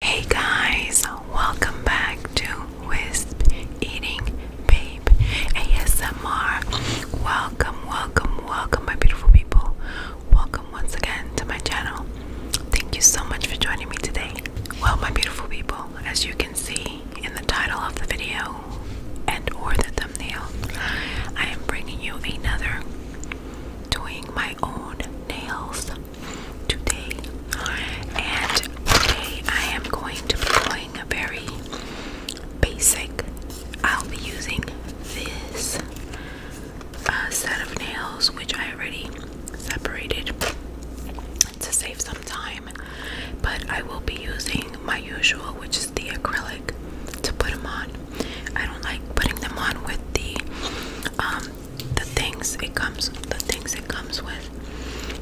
Hey guys, welcome back to Wisp Eating Babe ASMR. Welcome, welcome, welcome, my beautiful people. Welcome once again to my channel. Thank you so much for joining me today. Well, my beautiful people, as you can see in the title of the video and or the thumbnail, I am bringing you another doing my own nails today. And today I am going to be doing a very basic. I'll be using this uh, set of nails, which I already separated to save some time. But I will be using my usual, which is the acrylic, to put them on. I don't like putting them on with the um, the things it comes the things it comes with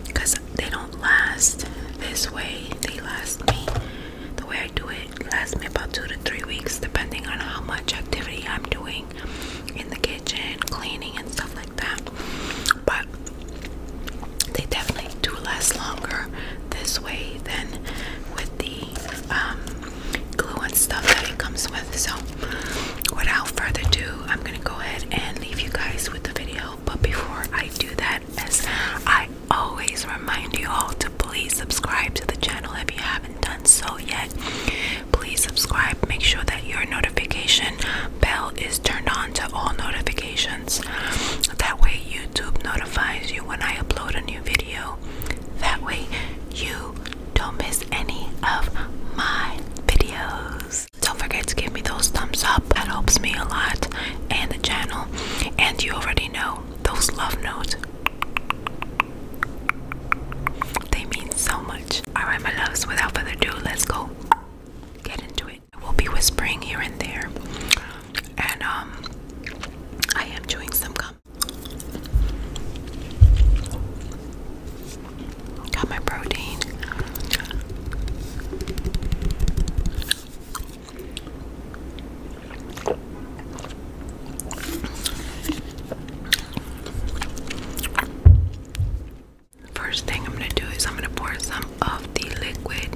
because they don't last this way they last me the way I do it lasts me about two to three weeks depending on how much activity I'm doing in the kitchen cleaning and stuff like that but they definitely do last longer this way than with the um glue and stuff that it comes with. So, without further ado, I'm gonna go ahead and leave you guys with the video. But before I do that, as I always remind you all to please subscribe to the channel if you haven't done so yet. Please subscribe, make sure that your notification bell is turned on to all notifications. That way, YouTube notifies you when I upload a new video. That way, you don't miss any of my videos. Don't forget to give me those thumbs up, that helps me a lot and the channel. And you already know those love notes, they mean so much. Alright, my loves, without further ado, let's go get into it. I will be whispering here and there, and um, I am doing some Got my protein. First thing I'm going to do is I'm going to pour some of the liquid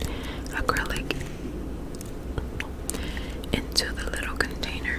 acrylic into the little container.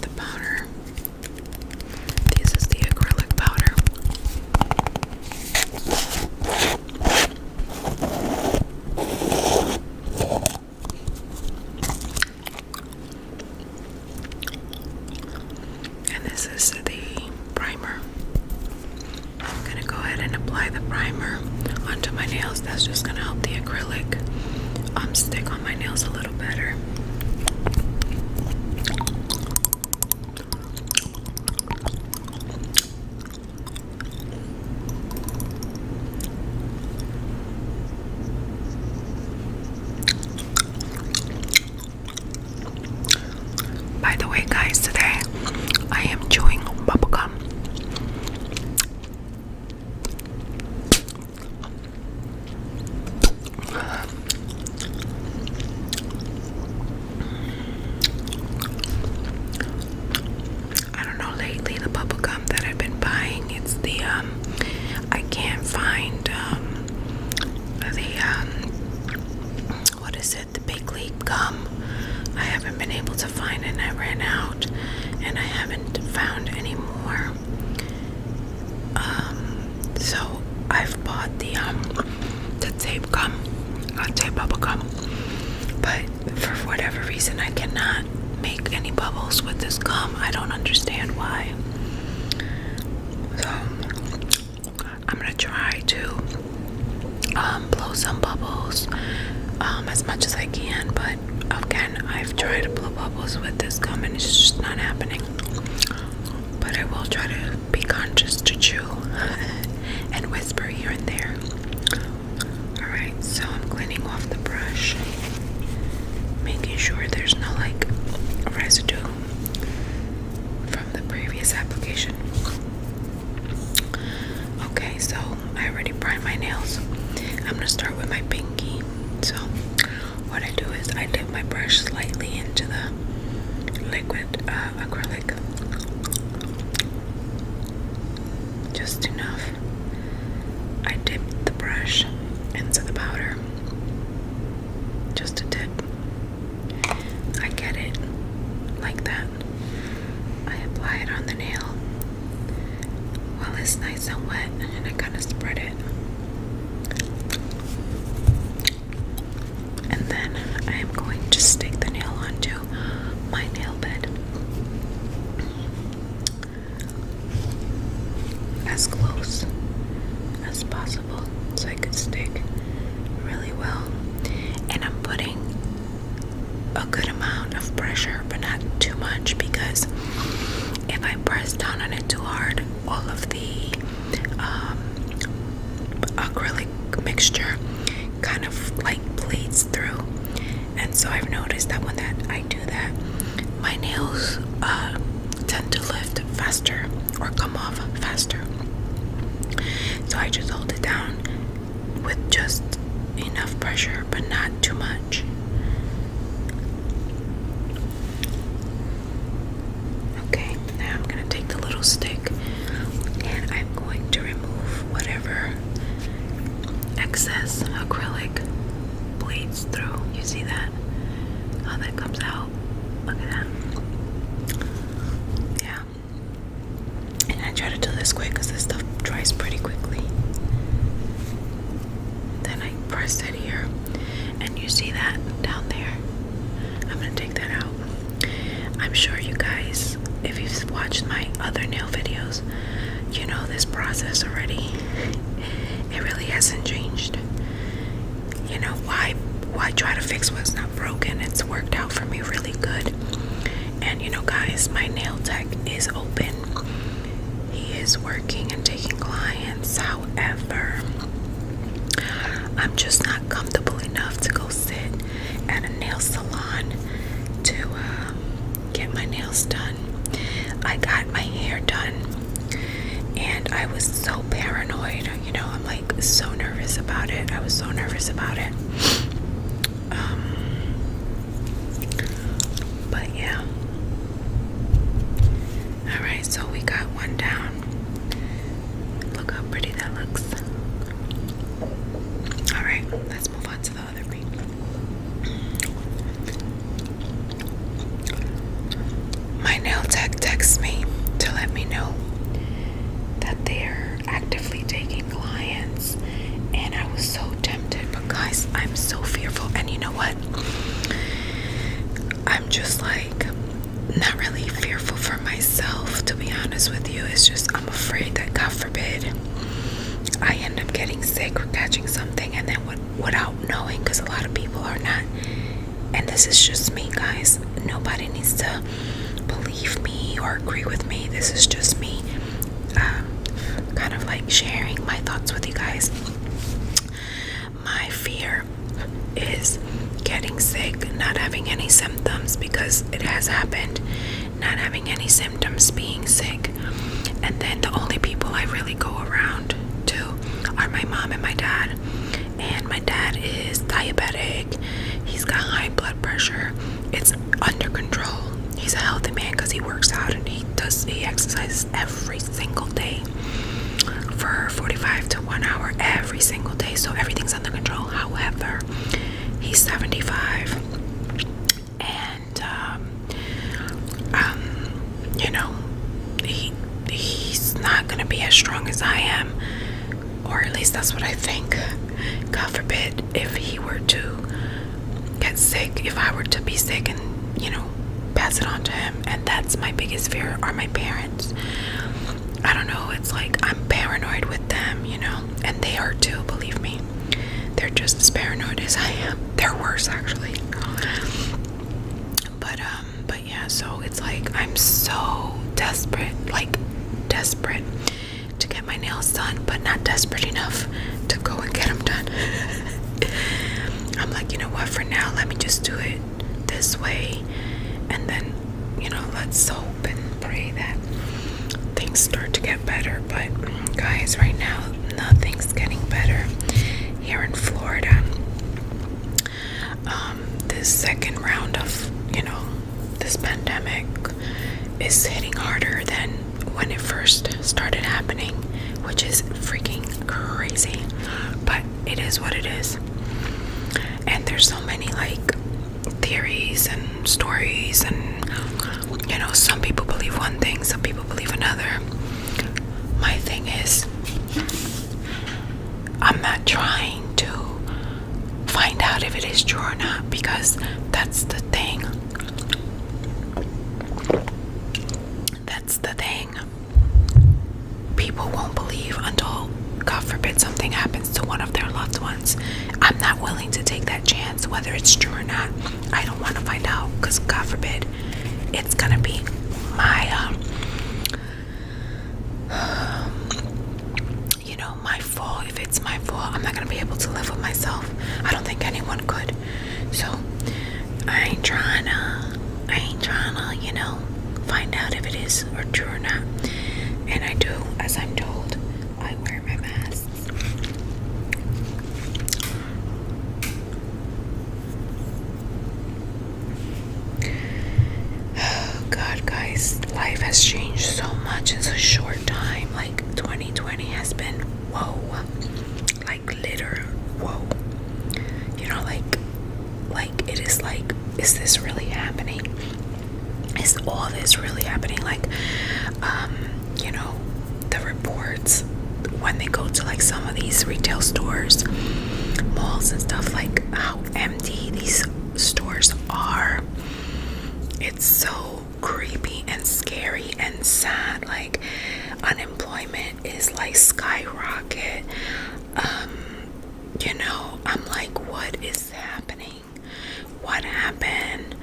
The powder. This is the acrylic powder. And this is the primer. I'm gonna go ahead and apply the primer onto my nails. That's just gonna help the acrylic um, stick on my nails a little better. By the way, guys, today I am chewing bubble gum. I don't know lately the bubble gum that I've been buying it's the um I can't find um the um what is it the big league gum I haven't been able to find it and I ran out and I haven't found any more um so I've bought the um the tape gum not uh, tape bubble gum but for whatever reason I cannot make any bubbles with this gum. I don't understand why. So I'm gonna try to um, blow some bubbles um, as much as I can, but again, I've tried to blow bubbles with this gum and it's just not happening. But I will try to be conscious to chew and whisper here and there. Alright, so I'm cleaning off the brush, making sure there's no like residue from the previous application. Okay, so I already primed my nails. I'm gonna start with my pinky. So, what I do is I dip my brush slightly into the liquid uh, acrylic just enough. I dipped the brush into the powder, just a dip. I get it like that. I apply it on the nail while it's nice and wet, and I kind of spread it. And then I am going to stick the nail onto my nail bed as close as possible so I could stick really well. And I'm putting a good amount of pressure, but not too much because if I press down on it too hard, all of the um, acrylic mixture kind of like bleeds through. And so I've noticed that when that do that, my nails uh, tend to lift faster or come off faster. So I just hold it down with just enough pressure, but not too much. Okay, now I'm going to take the little stick and I'm going to remove whatever excess acrylic bleeds through. You see that? How that comes out. Look at that. Yeah. And I try to do this quick because this stuff dries pretty quickly. Then I press it here. And you see that down there? I'm going to take that out. I'm sure you guys, if you've watched my other nail videos, you know this process already. It really hasn't changed. You know, why why try to fix what's not broken? It's worked out for me really good. And you know guys, my nail tech is open. He is working and taking clients. However, I'm just not comfortable enough to go sit at a nail salon to um, get my nails done. I got my hair done, and I was so paranoid. You know, I'm like so nervous about it. I was so nervous about it. Um, but yeah. All right, so we got one down. Look how pretty that looks. All right, let's move on to the my nail tech texts me to let me know that they're actively taking clients, and I was so tempted, but guys, I'm so fearful. And you know what? I'm just like not really fearful for myself, to be honest with you. It's just I'm afraid that, God forbid, I end up getting sick or catching something, and then without knowing, because a lot of people are not. And this is just me, guys. Nobody needs to believe me or agree with me. This is just me, um, kind of like sharing my thoughts with you guys. My fear is getting sick, not having any symptoms because it has happened, not having any symptoms, being sick. And then the only people I really go around to are my mom and my dad. And my dad is diabetic, he's got high blood pressure, it's under control. He's a healthy man because he works out and he does he exercises every single day for 45 to 1 hour every single day so everything's under control however he's 75 and um, um, you know, he he's not gonna be as strong as I am, or at least that's what I think. God forbid if he were to get sick, if I were to be sick and you know pass it on to him, and that's my biggest fear are my parents. I don't know, it's like I'm paranoid with them, you know, and they are too, believe me. They're just as paranoid as I am. They're worse actually. But um, but yeah, so it's like I'm so desperate, like desperate to get my nails done, but not desperate enough to go and get them done. I'm like, you know what, for now, let me just do it this way and then you know let's hope. and pray that things start to get better. But, guys, right now, nothing's getting better here in Florida. Um, this second round of, you know, this pandemic is hitting harder than when it first started happening, which is freaking crazy. But it is what it is. And there's so many like theories and stories and you know some people believe one thing some people believe another my thing is i'm not trying to find out if it is true or not because that's the thing that's the thing people won't believe until god forbid something happens to one of their loved ones. I'm not willing to take that chance, whether it's true or not. I don't want to find out because, God forbid, it's going to be my, um, you know, my fault. If it's my fault, I'm not going to be able to live with myself. I don't think anyone could. So, I ain't trying to, I ain't trying to, you know, find out if it is or true or not. And I do as I'm told. I wear my mask. Oh God, guys, life has changed so much in such a short time. Like 2020 has been whoa, like litter whoa. You know, like, like it is like, is this really happening? is all this really happening? Like, um, you know, the reports when they go to like some of these retail stores, malls, and stuff, like how empty these stores are. It's so creepy and scary and sad. Like, unemployment is like skyrocket. Um, you know, I'm like, what is happening? What happened?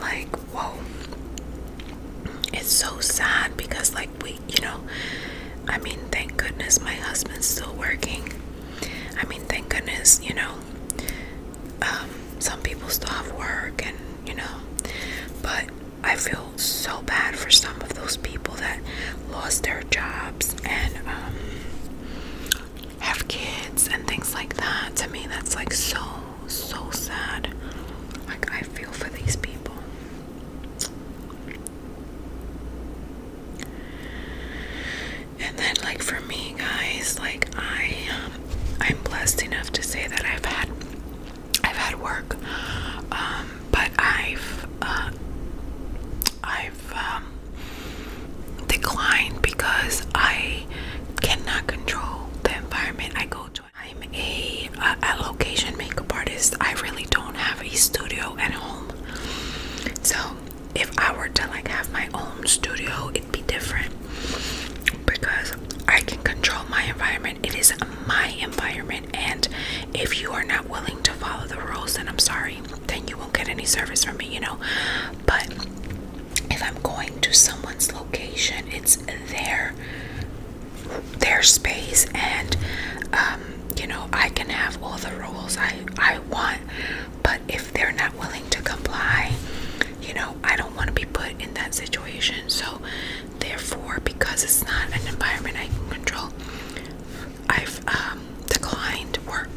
Like, whoa. It's so sad because, like, we, you know, I mean, thank goodness my husband's still working. I mean, thank goodness, you know, um, some people still have work and, you know, but I feel so bad for some of those people that lost their jobs and, um, have kids and things like that. To me, that's like so, so sad. Like, I feel for these people. And then, like, for me, guys, like, I, um, I'm blessed enough to say that I've had, I've had work, um, but I've, uh, I i um, because I cannot control the environment I go to. I'm a location makeup artist. I really don't have a studio at home. So if I were to like have my own studio, it'd be different because I can control my environment. It is my environment, and if you are not willing to follow the rules, then I'm sorry then you won't get any service from me, you know. But if I'm going to someone's location, it's their their space, and um, you know, I can have all the rules I I want. But if they're not willing to comply, you know, I don't want to be put in that situation. So, therefore, because it's not an environment I can control, I um, declined work,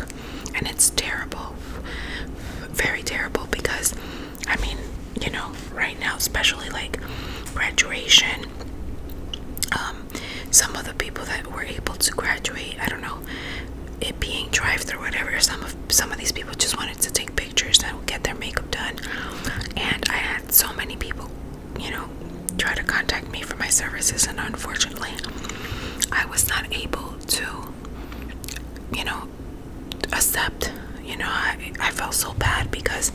and it's terrible, very terrible because I mean, you know, right now, especially like graduation, um, some of the people that were able to graduate, I don't know, it being drive-through, whatever. Some of some of these people just wanted to take pictures and get their makeup done, and I had so many people, you know, try to contact me for my services, and unfortunately, I was not able to you know, accept. You know, I, I felt so bad because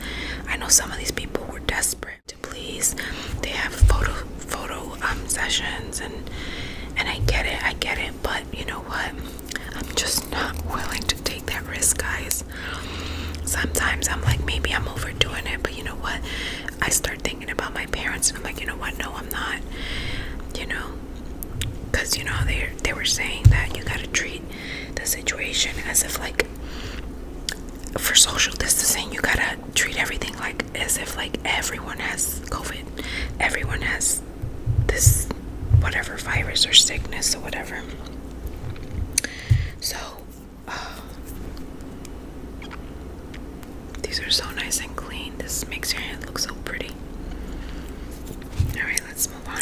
I know some of these people were desperate to please. They have photo photo um sessions and and I get it, I get it, but you know what? I'm just not willing to take that risk, guys. Sometimes I'm like maybe I'm overdoing it, but you know what? I start thinking about my parents and I'm like, you know what? No, I'm not. You know, because you know they they were saying that you gotta treat the situation as if like for social distancing you gotta treat everything like as if like everyone has COVID, everyone has this whatever virus or sickness or whatever. So. Uh, these are so nice and clean. This makes your hand look so pretty. Alright, let's move on.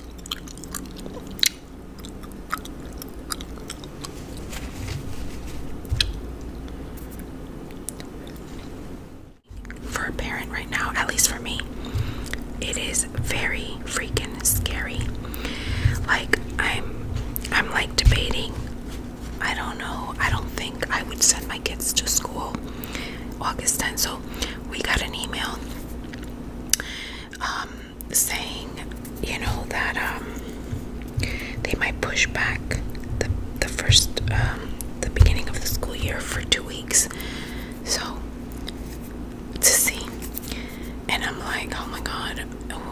For a parent right now, at least for me, it is very freaking scary. Like I'm I'm like debating. I don't know. I don't think I would send my kids to school August 10th. So we got an email um, saying, you know, that um, they might push back the, the first, um, the beginning of the school year for two weeks. So, to see. And I'm like, oh my god,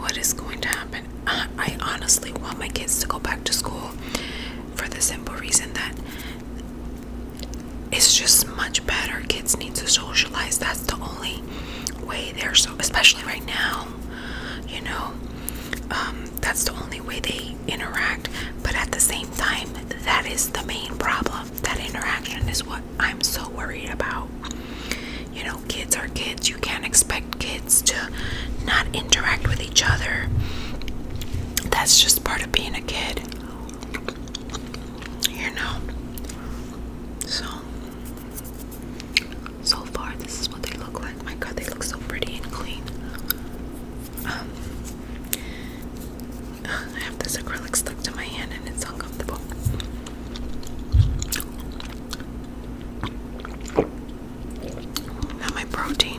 what is going to happen? I honestly want my kids to go back to school for the simple reason that it's just much better. Kids need to socialize. That's the only way they're so, especially right now, you know, um, that's the only way they interact. But at the same time, that is the main problem. That interaction is what I'm so worried about. You know, kids are kids. You can't expect kids to not interact with each other. That's just part of being a kid you know. So, so far, this is what they look like. My God, they look so pretty and clean. Um, I have this acrylic stuck to my hand, and it's uncomfortable. Now my protein.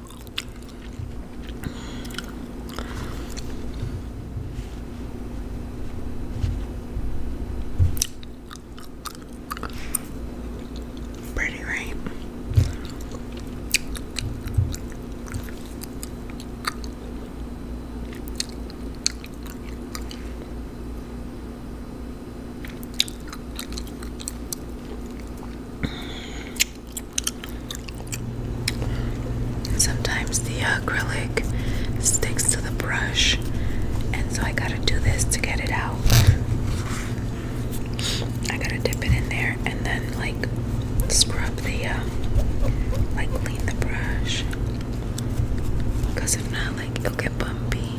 Pretty, right? Sometimes the acrylic sticks to the brush, and so I gotta do this to get it out. I gotta dip it in there and then, like, scrub the, uh, like, clean the brush. Because if not, like, it'll get bumpy.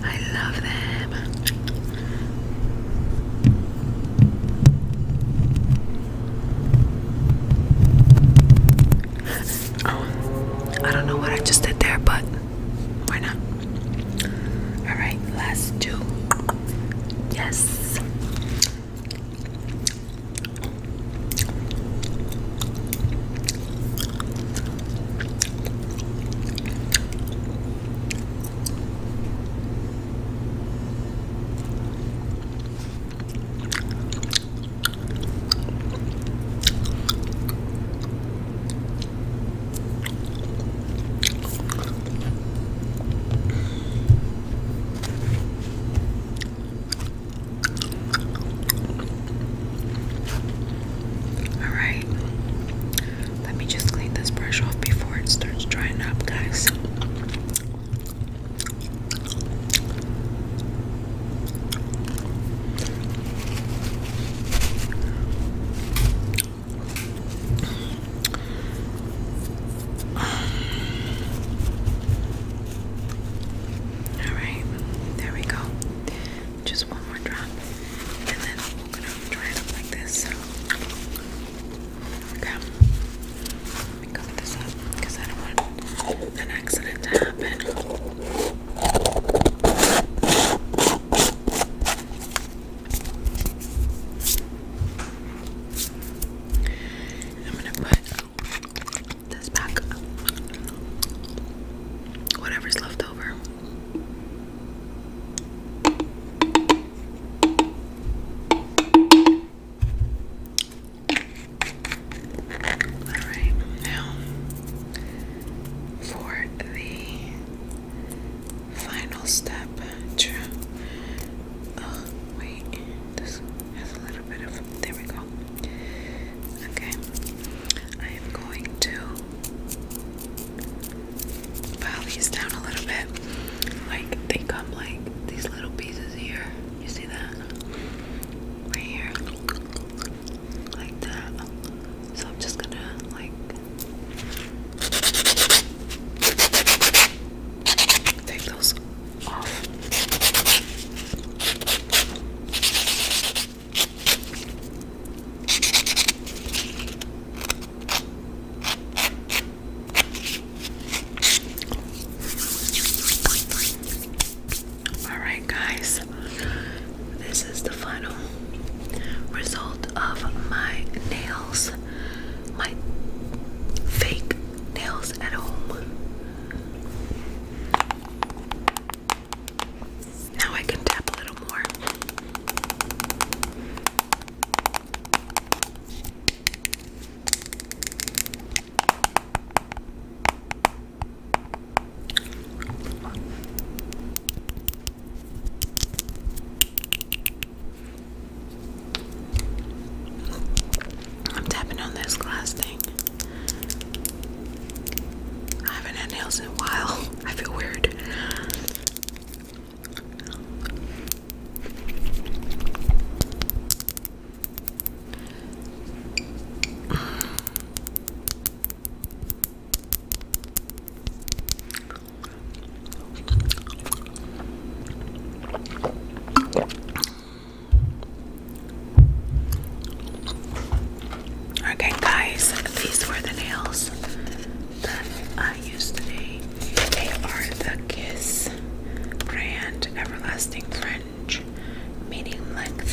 I love them. Oh, I don't know what I just did there, but why not? Alright, last two. Yes. All right, let me just clean this brush off before it starts drying up, guys. All right, there we go. Just one more drop, and then we're gonna dry it like this. Okay, let me cover this up because I don't want an accident to happen. I'm gonna put this back Whatever's left over. Alright, now for the final step. Oh, wait, this has a little bit of. There we go. Okay, I am going to pile these down a little bit. Like, they come like these little pieces here. You see that? Right here like that. So I'm just gonna like take those off. Alright, guys, this is the final result of my nails, my fake nails at home. Now I can tap a little more. I'm tapping on this glass thing. I haven't had nails in a while. I feel weird. Okay, guys, these were the nails that I used today. They are the Kiss brand Everlasting Friend inch, medium length.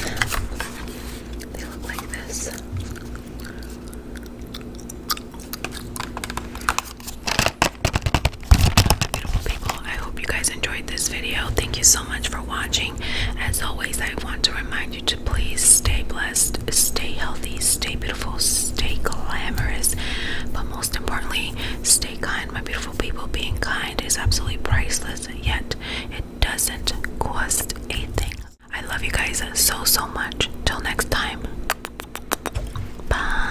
They look like this. Beautiful people, I hope you guys enjoyed this video. Thank you so much for watching. As always, I want to remind you to please stay blessed, stay healthy, stay beautiful, stay glamorous, but most importantly, stay kind, my beautiful people. Being kind is absolutely priceless yet it doesn't cost a thing. I love you guys so, so much. Till next time. Bye.